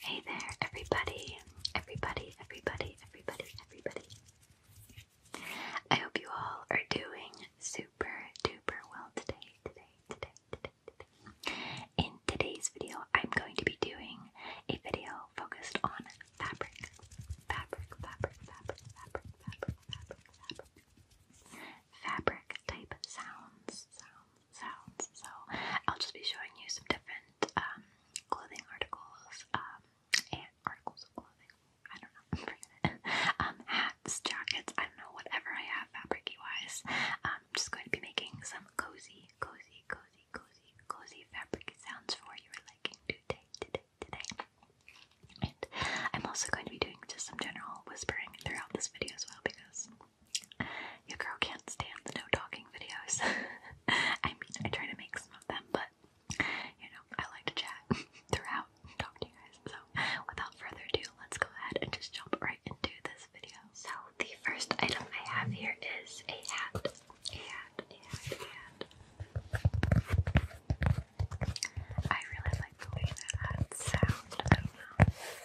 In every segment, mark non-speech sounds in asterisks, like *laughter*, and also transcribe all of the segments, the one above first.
Hey there, everybody, everybody, everybody, everybody, everybody. I hope you all are doing super duper well today, today, today, today, today. In today's video, I'm going to be doing a video focused on fabric, fabric, fabric, fabric, fabric, fabric, fabric, fabric. fabric fabric type sounds, sounds, sounds. So I'll just be showing you some different um, clothing articles, um, and articles of clothing. I don't know, *laughs* I'm it. Um, hats, jackets, I don't know, whatever I have fabric wise. I'm just going to be making some cozy, cozy, cozy, cozy, cozy fabric sounds for your liking today, today, today. And I'm also going to be doing just some general whispering throughout this video as well because your girl can't stand no talking videos. *laughs* I mean, I try to make some of them, but you know, I like to chat *laughs* throughout and talk to you guys. So, without further ado, let's go ahead and just jump right into this video. So, the first item I have here is a hat. A I really like the way that hat sounds.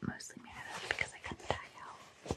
mostly made out because I couldn't tag out.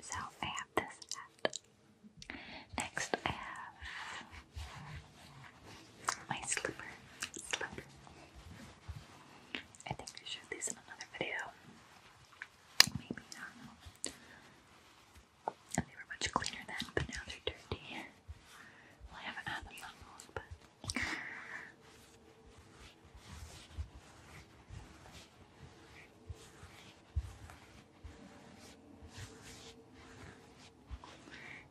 So I have this Next I have my slipper. Slipper. I think I showed these in another video. Maybe, not And they were much cleaner then, but now they're dirty. Well, I haven't had them that long, but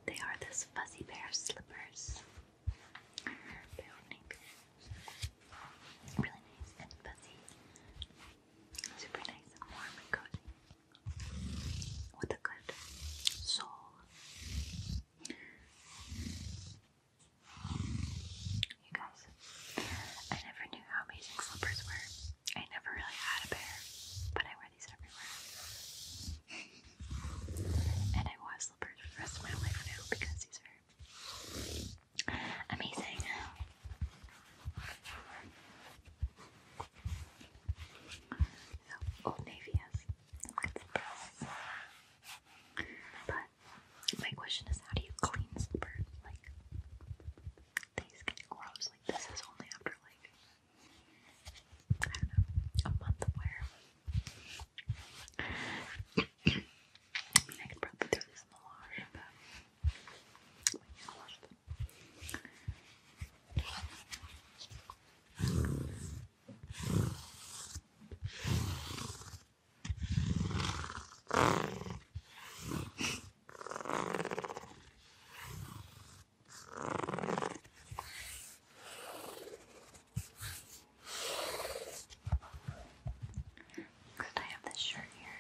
they are this fuzzy bear slippers. They're Really nice and fuzzy. Super nice and warm and cozy. With a good sole. You guys, I never knew how amazing slippers were. I never really had a pair, but I wear these everywhere. and I wear slippers for the rest of my life now because these are amazing. So, Old Navy has good slippers. But my question is, how do you clean slippers? Like, these get gross. Like, this is only after like I do a month of wear. I could probably throw this in the wash, but could I have this shirt here?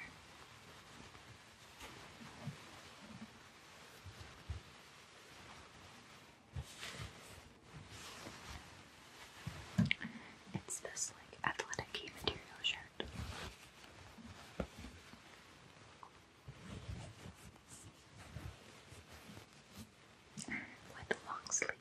It's this like athletic material shirt. With long sleeves.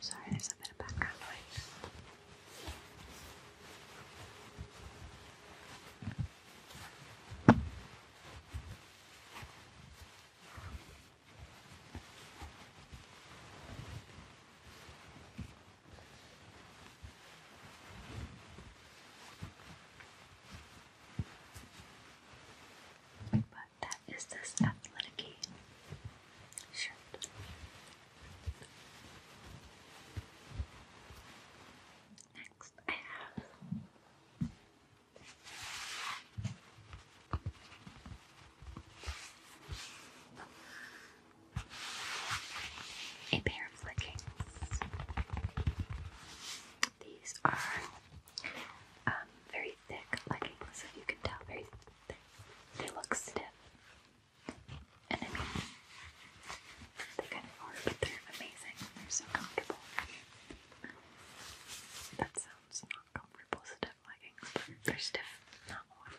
Sorry, there's a bit of background noise. But that is this athletic shirt. Next, I have a pair of leggings. These are um, very thick leggings, if you can tell. Very thick. They look stiff. And I mean, they kind of are, but they're amazing. They're so comfortable. That sounds not comfortable, stiff they're stiff, not warm.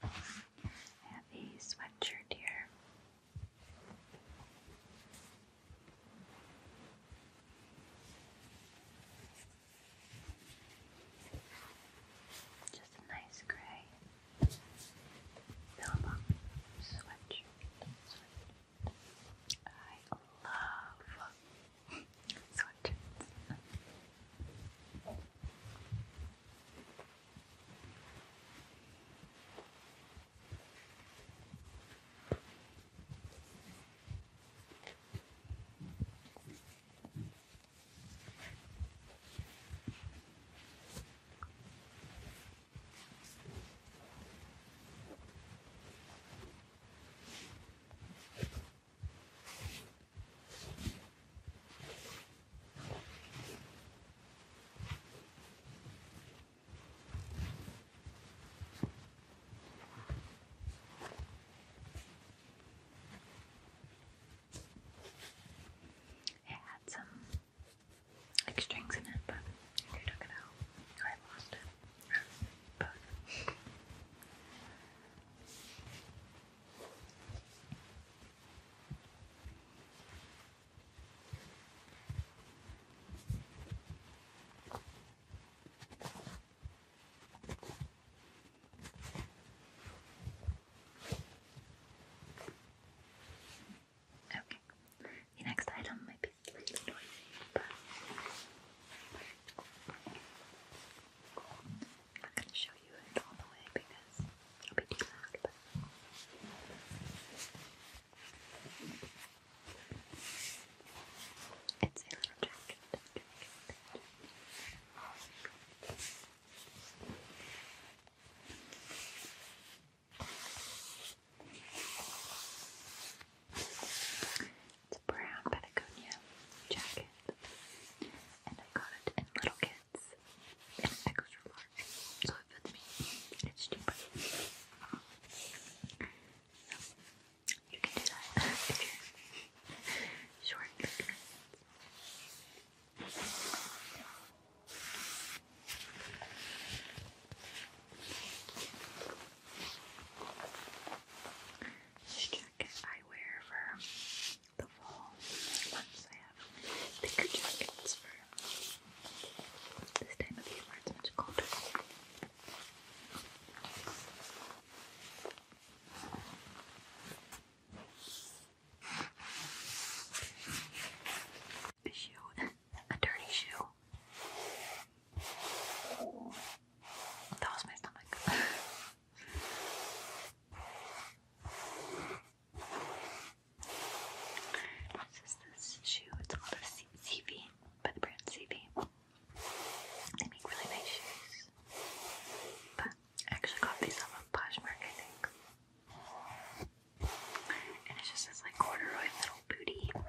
I have a sweatshirt here. Just a nice gray Billabong sweatshirt. sweatshirt. I love sweatshirts. It had some like strings in it, but I took it out. I lost it. but Okay. The next item might be slightly noisy, but I'm not going to show you it all the way because it'll be too loud. But... It's a little jacket. It's a brown Patagonia jacket, and I got it in Little Kids, and extra large, so it fits me. It's cheaper. So, you can do that *laughs* if you're short. This jacket I wear for the fall months. I have thicker jackets for this time of year where it's colder shoe, a dirty shoe. That was my stomach. This is this shoe. It's called a C CV, by the brand CV. They make really nice shoes. But I actually got these off of Poshmark, I think. And it just says like corduroy metal booty.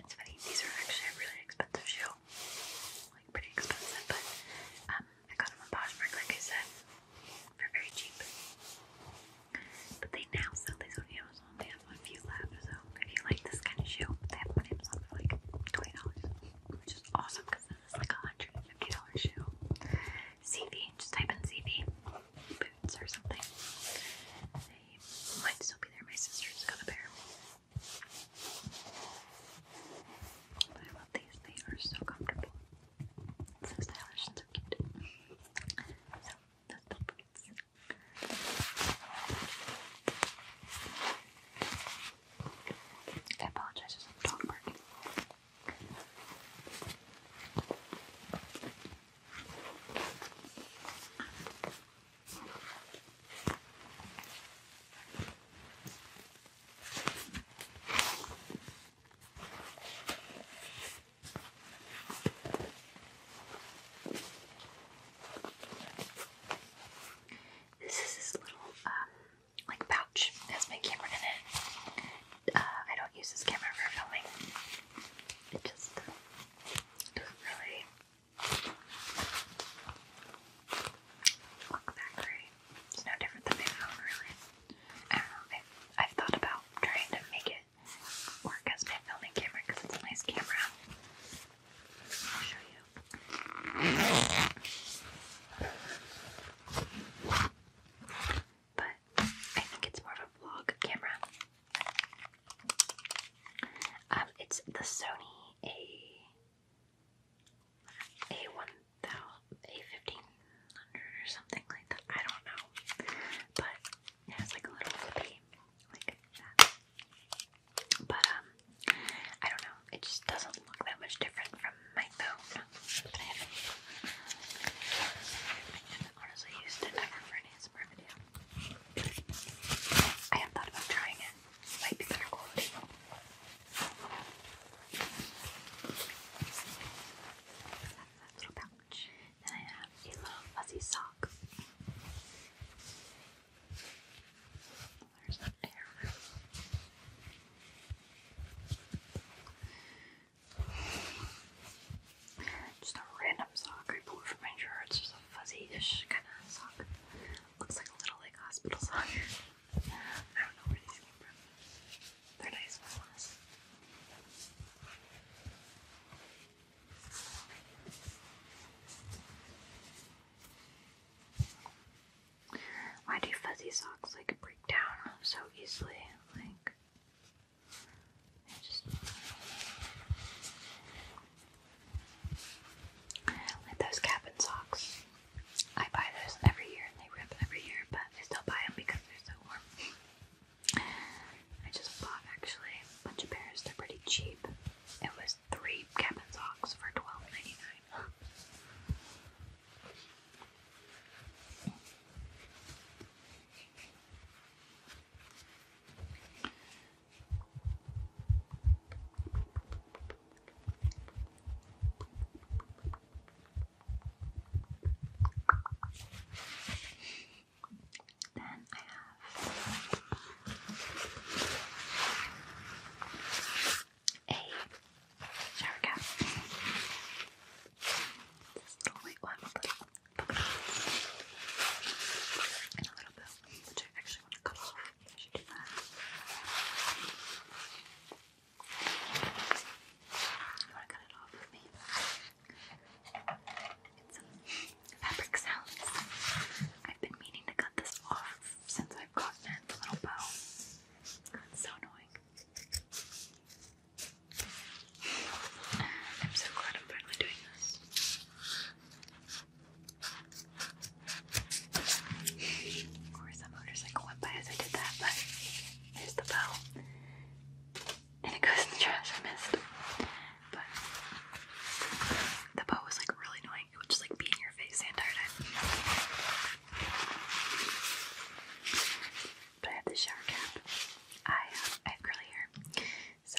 It's funny, these are actually really expensive shoes, Like, pretty expensive, but um, I got them on Poshmark, like I said, They're very cheap. But they now sell these on Amazon. They have a few left, so if you like this kind of shoe, they have one on for like $20, which is awesome because this is like a $150 shoe. CV, just type in CV boots or something. They might still be there. My sister's got a pair. But I love these, they are so comfortable. So stylish and so cute. So, those the boots. I apologize for some dog barking. This is this little um like pouch that has my camera in it. Uh, I don't use this camera for filming. It just doesn't really Look that great. It's no different than baby foam, really. I have thought about trying to make it work as my filming camera because it's a nice camera. But I think it's more of a vlog camera. Um, it's the Sony A A one thousand A fifteen hundred or something like that. I don't know, but it has like a little flippy like that. But um, I don't know. It just doesn't look that much different from my phone. But I haven't, honestly used it ever for an ASMR video. I have thought about trying it might be better Little pouch. Then I have a little fuzzy sock. There's an air. Just a random sock I pulled from my drawer. It's just a fuzzy-ish kind of sock. Looks like a little like hospital song. *laughs* I don't know where these came from. They're nice ones. Why do fuzzy socks like break down so easily? Like, I just like those cabin socks. I buy those every year and they rip every year, but I still buy them because they're so warm. I just bought actually a bunch of pairs. They're pretty cheap. It was three cabin socks for twelve ninety nine. Then I have a shower cap. This little one and a little bit, which I actually want to cut off. You want to cut it off with me? Get some fabric sounds. I've been meaning to cut this off since I've gotten it, the little bow. It's so annoying. I'm so glad I'm finally doing this. Of course, a motorcycle went by as I did that, but there's the bow. And it goes in the trash, I missed. But the bow was like really annoying. It would just like be in your face the entire time. But I have the shower cap. I uh, have curly hair. So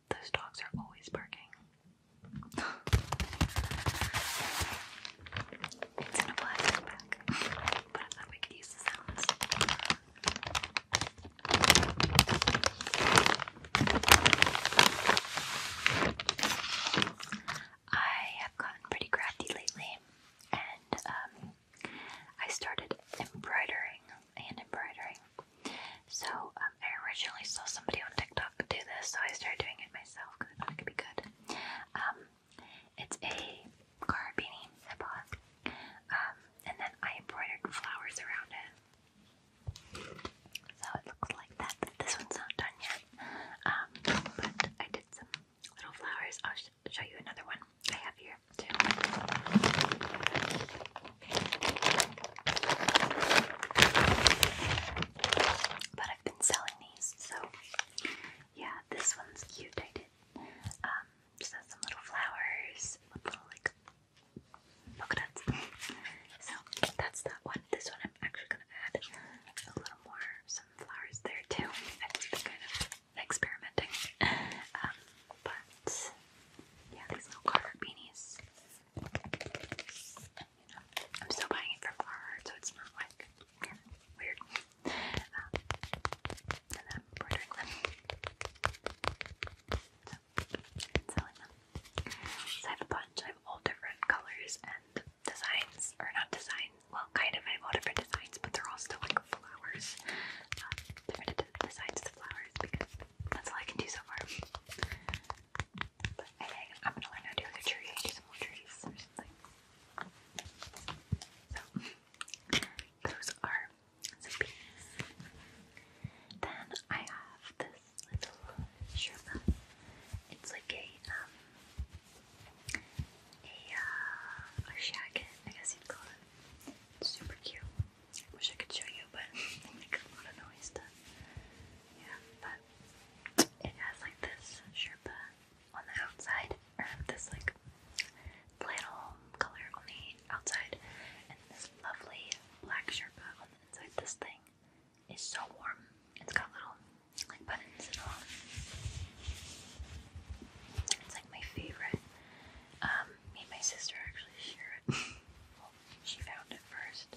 those dogs are always barking. it's in a plastic bag, but I thought we could use the sounds. I have gotten pretty crafty lately, and um, I started embroidering and embroidering. So um, I originally saw somebody on TikTok do this, so I started doing it myself because I thought it could be good. Um, it's a car beanie um, and then I embroidered flowers around it, so it looks like that. This one's not done yet, but I did some little flowers. I'll show you another one I have here but I've been selling these, so yeah, this one's cute. I did. Um, has some little flowers, with little like polka dots. so that's that one. This one I'm actually gonna add a little more, some flowers there too. I think kind of experimenting. *laughs* Um, but yeah, these little carver beanies. I'm still buying it from Walmart, so it's not like weird. Um, I have a bunch. I have all different colors and designs, or not designs. Well, kind of. I have all different designs, but they're all still like flowers. Um, different designs of flowers because that's all I can do so far. But I am gonna learn how to do like a tree, do trees or something. So those are some bees. Then I have this little Sherpa. It's like a um a uh a shacket, I guess you'd call it. super cute. Wish I could show you, but it *laughs* oh make a lot of noise yeah, but it has like this Sherpa on the outside, or this like flannel color on the outside, and this lovely black Sherpa on the inside. This thing is so warm. It's got little like buttons and all. It's like my favorite. Um, me and my sister actually share it. *laughs* She found it first.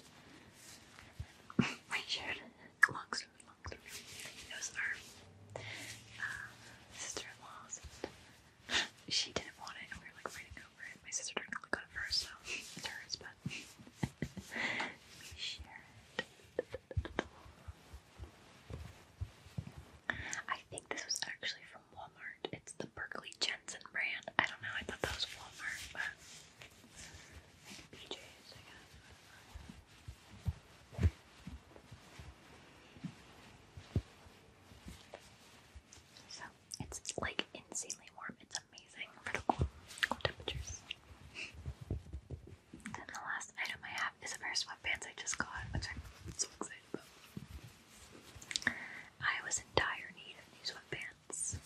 we shared Long story, long story. It was uh, sister-in-law's. She didn't want it, and we were like fighting over it. My sister technically got it first, so it's hers, but we *laughs* share I think this was actually from it's the Berkeley Jensen brand. I don't know. I thought that was Walmart, but So it's like insanely warm. It's amazing for the cool, temperatures. And the last item I have is a pair of sweatpants I just got, i was in need of new sweatpants ones.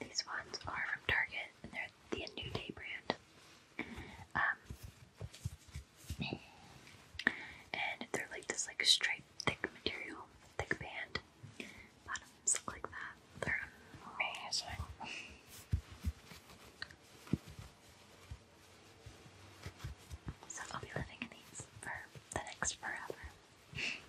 These ones are from Target and they're the New Day brand. Um, and they're like this like striped thick material, thick band. Bottoms look like that. They're amazing. So I'll be living in these for the next forever